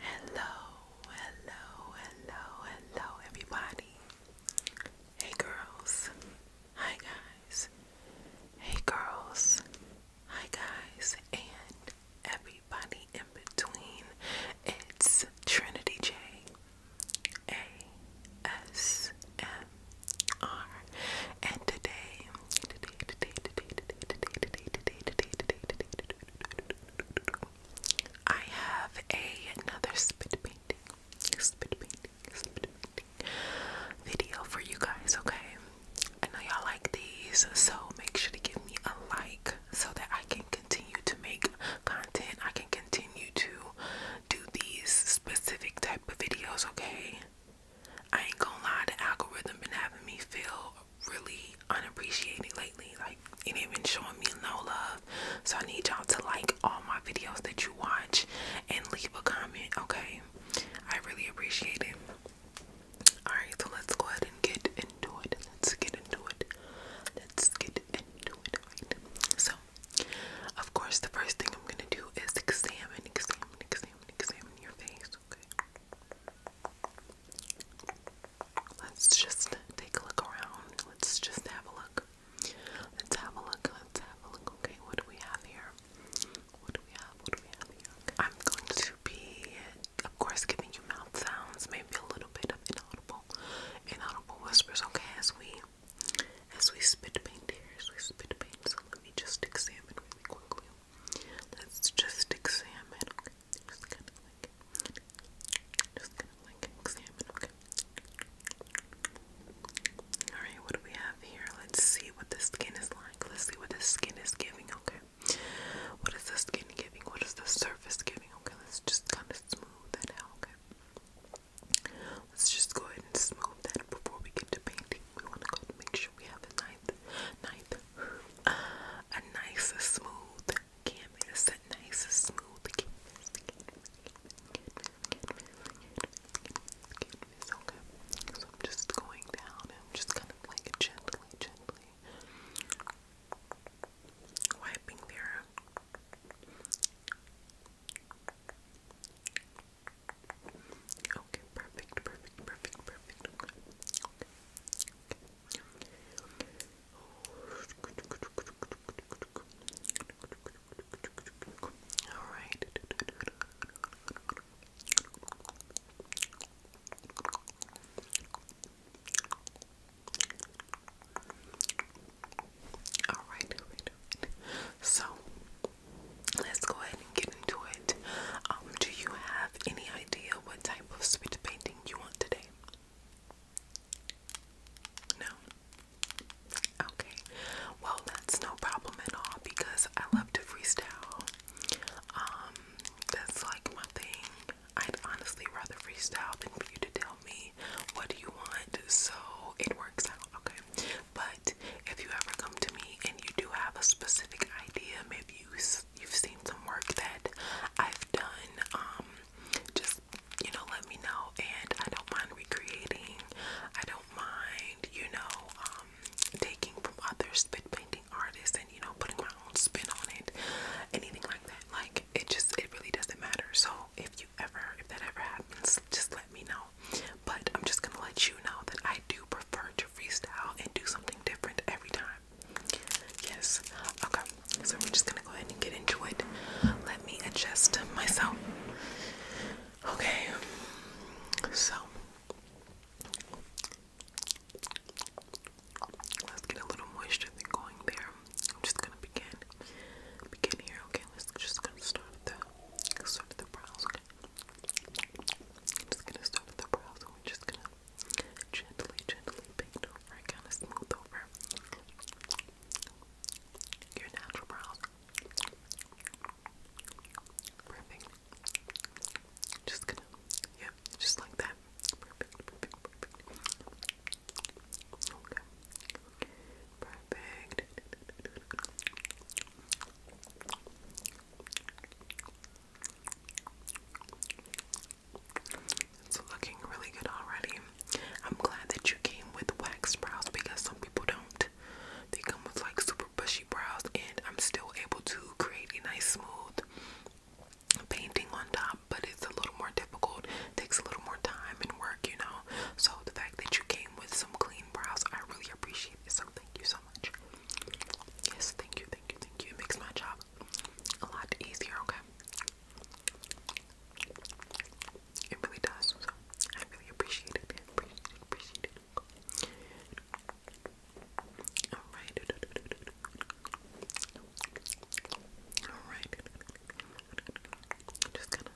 Hello, hello, hello, hello, everybody. Hey, girls. Hi, guys. Hey, girls. Hi, guys. And everybody in between. It's Trinity J. A. S. M. R. And today, I have a, another spit painting, spit painting, spit painting video for you guys, okay? I know y'all like these, so make sure to give me a like so that I can continue to make content. I can continue to do these specific type of videos, okay? I ain't gonna lie, the algorithm been having me feel really unappreciated lately. Like it ain't been showing me no love. So I need y'all to like all my videos that you watch and leave a comment, okay? I really appreciate it. Alright, so let's go ahead and get into it. Let's get into it. Let's get into it. Right. So, of course, the first thing I'm gonna do is examine, examine, examine, examine your face. Okay. Let's just take a look around. Let's just have a look. Let's have a look. Let's have a look. Okay, what do we have here? What do we have? What do we have here? I'm going to be, of course, giving you mouth sounds, maybe a little bit of inaudible, inaudible whispers. Okay, as we, as we spit paint here, as we spit paint. So let me just examine really quickly. Let's just examine. Okay. Alright, what do we have here? Let's see what the skin is like. Let's see what the skin is giving, okay? What is the skin giving? What is the surface giving? Okay, let's just kind of smooth that out, okay? Let's just go ahead and smooth that before we get to painting. We want to go ahead and should we have the ninth? Ninth. a nice, smooth canvas. A nice, smooth canvas. So I'm just going down and I'm just kind of like gently, gently wiping there. Okay, perfect, perfect, perfect, perfect. All right. All right, So let's go ahead and get into um, do you have any idea what type of sweet painting you want today? No? Okay. Well, that's no problem at all because I love to freestyle. Um, that's like my thing. I'd honestly rather freestyle than for you to tell me what do you want, so it works out, okay? But if you ever come to me and you do have a specific idea, maybe you have seen some work that I've done, um, just you know, let me know, and I don't mind recreating. I don't mind, you know, um, taking from other spit painting artists and you know putting my own spin on it, anything like that. Like it just it really doesn't matter. So if you ever if that ever happens, just let me know. But I'm just gonna let you know that I do prefer to freestyle and do something different every time. Yes. Okay. So we're just gonna go ahead and get into it. Let me adjust myself. Okay. So let's get a little moisture going there. I'm just gonna begin. Begin here. Okay. Let's just gonna start the start the brows. Okay. I'm just gonna start the brows. We're just gonna Gently, gently paint over and kind of smooth over your natural brows. Perfect. Just gonna, yeah, just like that. perfect. Okay. Perfect. It's looking really good already. I'm glad that you came with wax brows because some people don't. They come with like super bushy brows, and I'm still able to create a nice smooth painting on top, but it's a little more difficult. Takes a little more time and work, you know. So the fact that you came with some clean brows, I really appreciate it. So thank you so much. Yes, thank you thank you, thank you. It makes my job a lot easier, okay? It really does. So I really appreciate it. Appreciate it, Alright. Alright. just gonna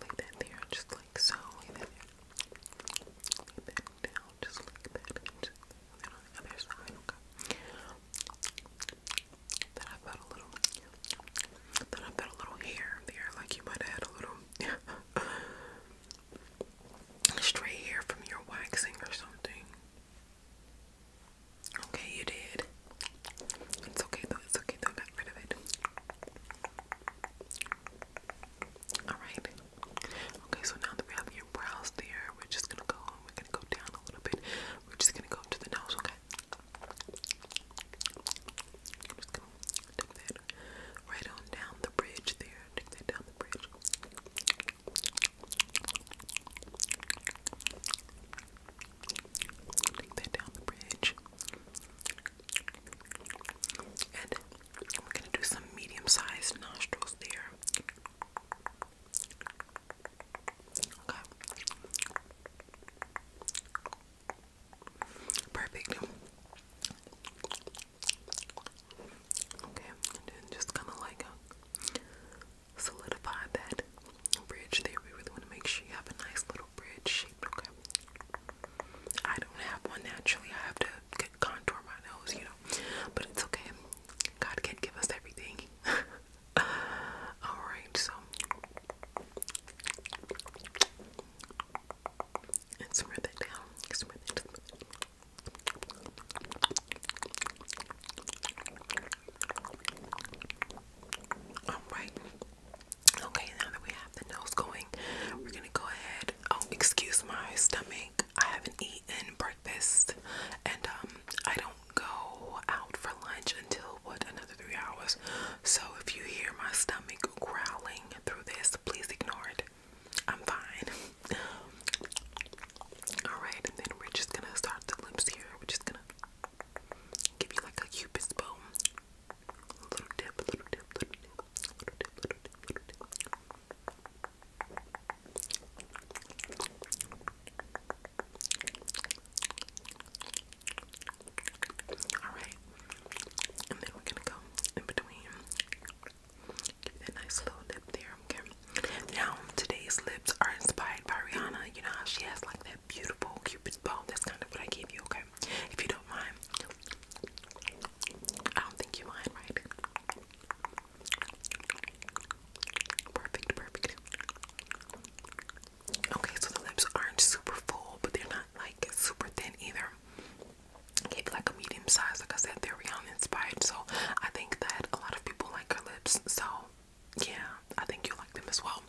lay that there, just like so. Lay that there. Lay that down, just like that de la única persona nunca that I felt a little that I felt a little hair there like you might have had a little stray hair from your waxing or something okay you did it's okay though it's okay though I rid of it Alright. Okay, so now that we have your brows there, we're just gonna go and we're gonna go down a little bit. We're just gonna go to the nose, okay? just gonna take that right on down the bridge there. Take that down the bridge. Take that down the bridge. And we're gonna do some medium-sized nostrils there. Okay. Perfect. Okay, and just kind of like uh, solidify that bridge there. We really want to make sure you have a nice little bridge shape. Okay. I don't have one naturally. I have to contour my nose, you know. But it's okay. God can give us everything. Alright, so and smooth it down. Smooth it. Alright. Okay, now that we have the nose going, we're gonna go ahead Oh, excuse my stomach. I haven't eaten breakfast, and um, I don't go out for lunch until what another three hours. So if you hear my stomach growling through this, please ignore it. I'm fine. All right, and then we're just gonna start the lips here. We're just gonna give you like a cupid's bow, little dip, little dip, little dip. Alright, and then we're gonna go in between. Give that nice little lip there, okay? Now, today's lips are inspired by Rihanna. You know how she has like that beautiful cupid's bow? That's kind of what I gave you, okay? If you don't mind. I don't think you mind, right? Perfect, perfect. Okay, so the lips aren't super full, but they're not like super thin either. Keep like a medium size. Like I said, they're Rihanna inspired, so I think that a lot of people like her lips. So yeah, I think you like them as well.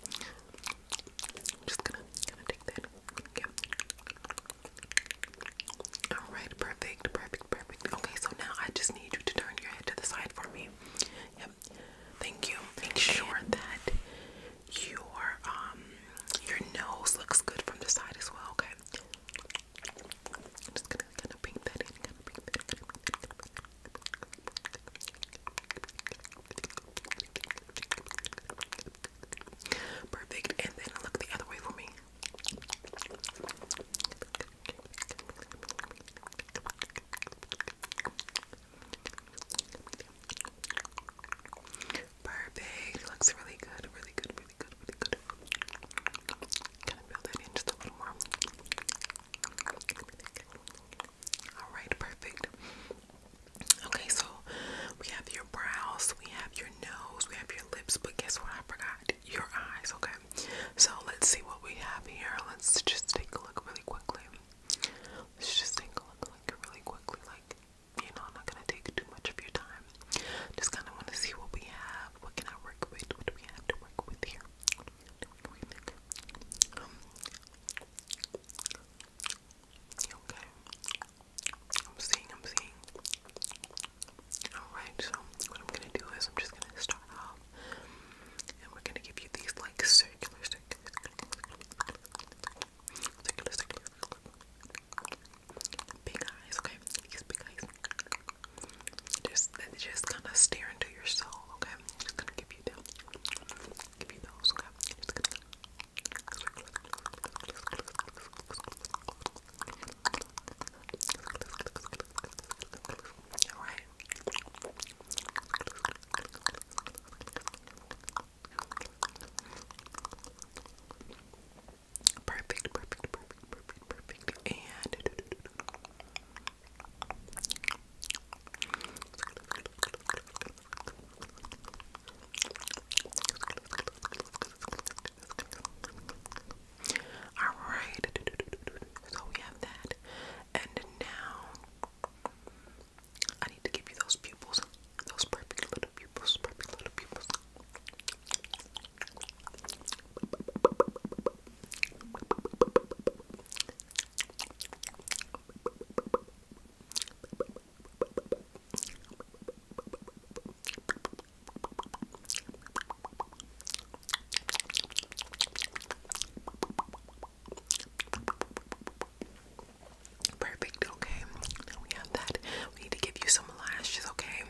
Just gonna take that. Yeah. All right, perfect, perfect, perfect. Okay, so now I just need you to turn your head to the side for me. Yep. Thank you. Make sure that your um your nose looks good from the side as well. Okay. I'm just gonna kind of paint that in. Perfect. And then look the other way for me. Perfect. Looks really good. Really good. Really good. Really good. Kind of build that in just a little more. All right. Perfect. Okay, so we have your brows, we have your your nose, we have your lips, but guess what? I forgot your eyes, okay? So let's see what we have here. Let's just take a look really quickly. Let's just take a look like really quickly, like you know, I'm not gonna take too much of your time. Just kinda wanna see what we have. What can I work with? What do we have to work with here? okay. I'm seeing, I'm seeing. Alright, so what I'm gonna do is I'm just gonna start off and we're gonna give you these like circular, circular, circular, circular, big eyes, okay? These big eyes. Just, just kind of stare into your soul, okay? just gonna give you them. Give you those, okay? All right. Perfect, perfect, perfect, perfect, perfect, and Alright, so we have that. And now I need to give you those pupils. Those perfect little pupils, perfect little pupils. Perfect, okay. we have that. We need to give you some lashes, okay?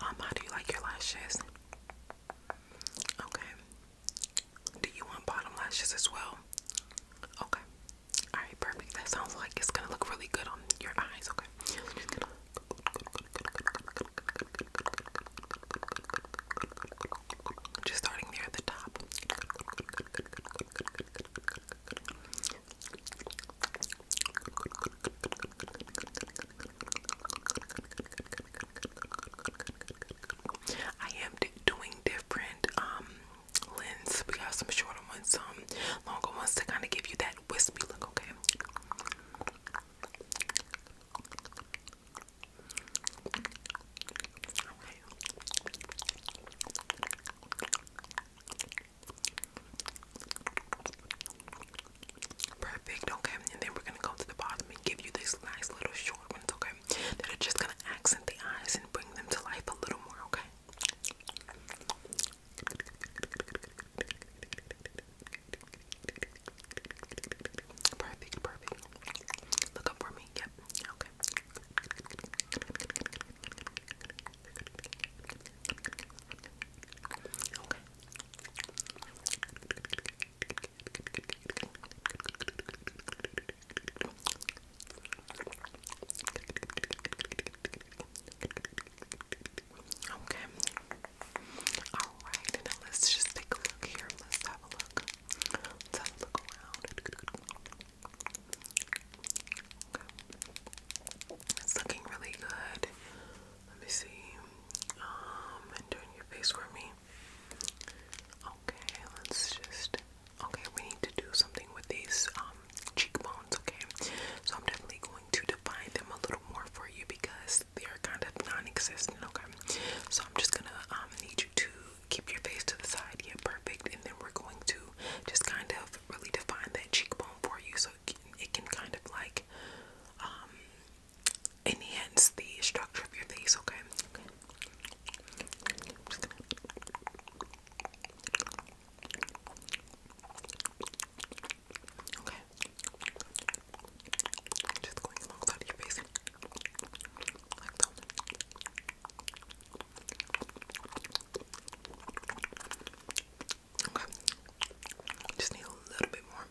Um, how do you like your lashes? Okay. Do you want bottom lashes as well? Okay. Alright, perfect. That sounds like it's gonna look really good on your eyes, okay? Just starting there the top. I am doing different um lens. We have some shorter ones, some longer ones to kind of give you that that wispy look, okay? Perfect, okay? And then we're gonna go to the bottom and give you these nice little short ones, okay? That are just gonna accent the eyes and bring them to life a little more, okay? Perfect, perfect. Look up for me. Yep. Okay. Okay. Okay. Okay. Alright, let's just take a look here. Let's have a look. Let's look around. It's looking really good. Let me see. Um, and turn your face for me. Okay, let's just. Okay, we need to do something with these um, cheekbones, okay? So I'm definitely going to define them a little more for you because they are kind of non-existent, okay? So I'm just gonna um, need you to keep your face to the side, yeah, perfect. And then we're going to just kind of really define that cheekbone for you so it can, kind of like um, enhance the structure of your face, okay? Okay. Just going alongside your face. Just need a little bit more.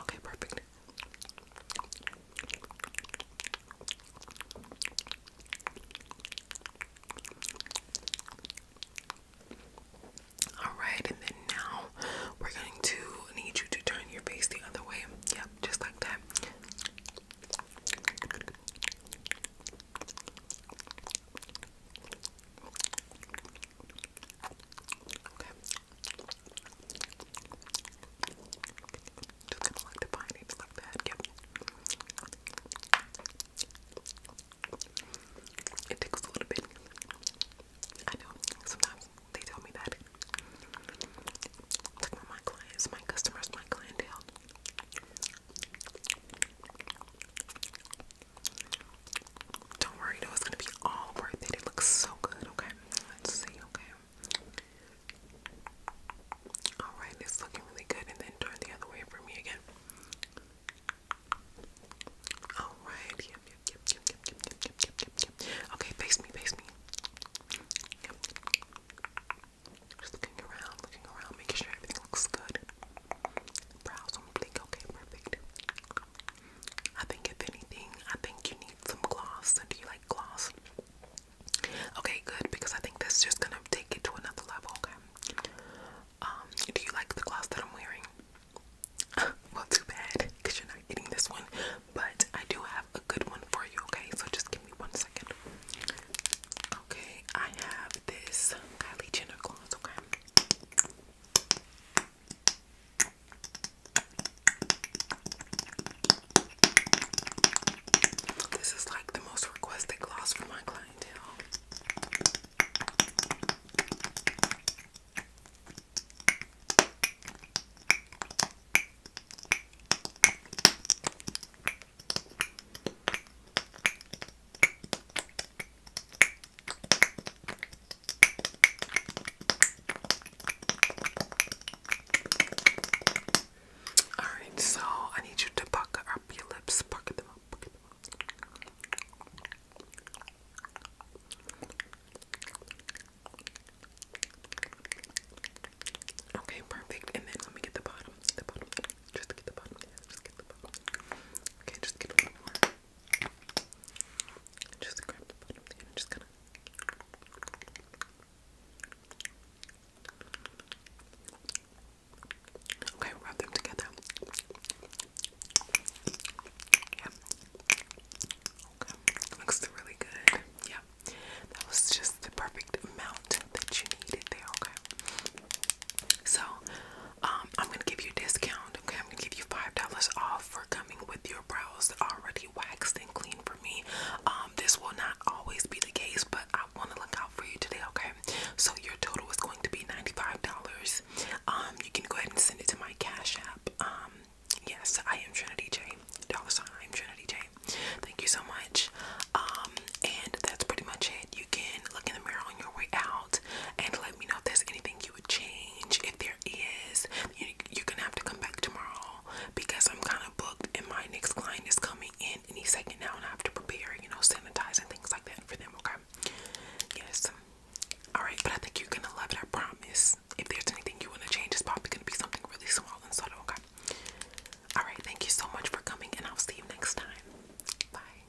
Okay, perfect. Alright, and then now we're going to need you to turn your face the other way. Yep, just like that. Just gonna like define like that. Yep. It tickles a little bit. I know. Sometimes they tell me that. It's like my clients, my customers, my clientele. Don't worry though, it's gonna be all worth it. It looks so good, okay? Let's see, okay. Alright, it's looking really good, and then turn the other way for me again. Alright, yep, yep, yep, yep, yep, yep, yep, yep, yep, Okay, face me, face me. Just looking around, looking around, making sure everything looks good. Brows on blink, okay, perfect. I think if anything, I think you need some gloss. Do you like gloss? Okay, good, because I think that's just gonna take it to another level, okay? Um, do you like the gloss that I'm wearing? well, too bad, because you're not getting this one, but I do have a good one for you, okay? So just give me one second. Okay, I have this Kylie Jenner gloss, okay? This is like the most requested gloss for my clientele. All right, so I need you to puck up your lips, puck them them up. Okay, perfect. And then let me get the bottom, the bottom, just get the bottom, just get the bottom. Okay, just get a little more. Just grab the bottom just gonna. Okay, rub them together. Yeah. looks really good. Yeah, that was just the perfect amount that you needed there. Okay. So um, I'm gonna give you a discount. Okay, I'm gonna give you five dollars off for coming with your brows already waxed and clean for me. Um, this will not always be the case, but I want to look out for you today. Okay, so your total is going to be ninety-five dollars. Um, you can go ahead and send it to my Cash App. Um, yes, I am Trinity J. Dollar sign, I'm Trinity J. Thank you so much. Um, and that's pretty much it. You can look in the mirror on your way out and let me know if there's anything you change. If there is, you, are gonna have to come back tomorrow because I'm kind of booked and my next client is coming in any second now, I have to prepare, you know, sanitize and things like that for them. Okay, yes, all right, but I think you're gonna love it. I promise. If there's anything you want to change, it's probably gonna be something really small and subtle. Okay, all right, thank you so much for coming, and I'll see you next time. Bye.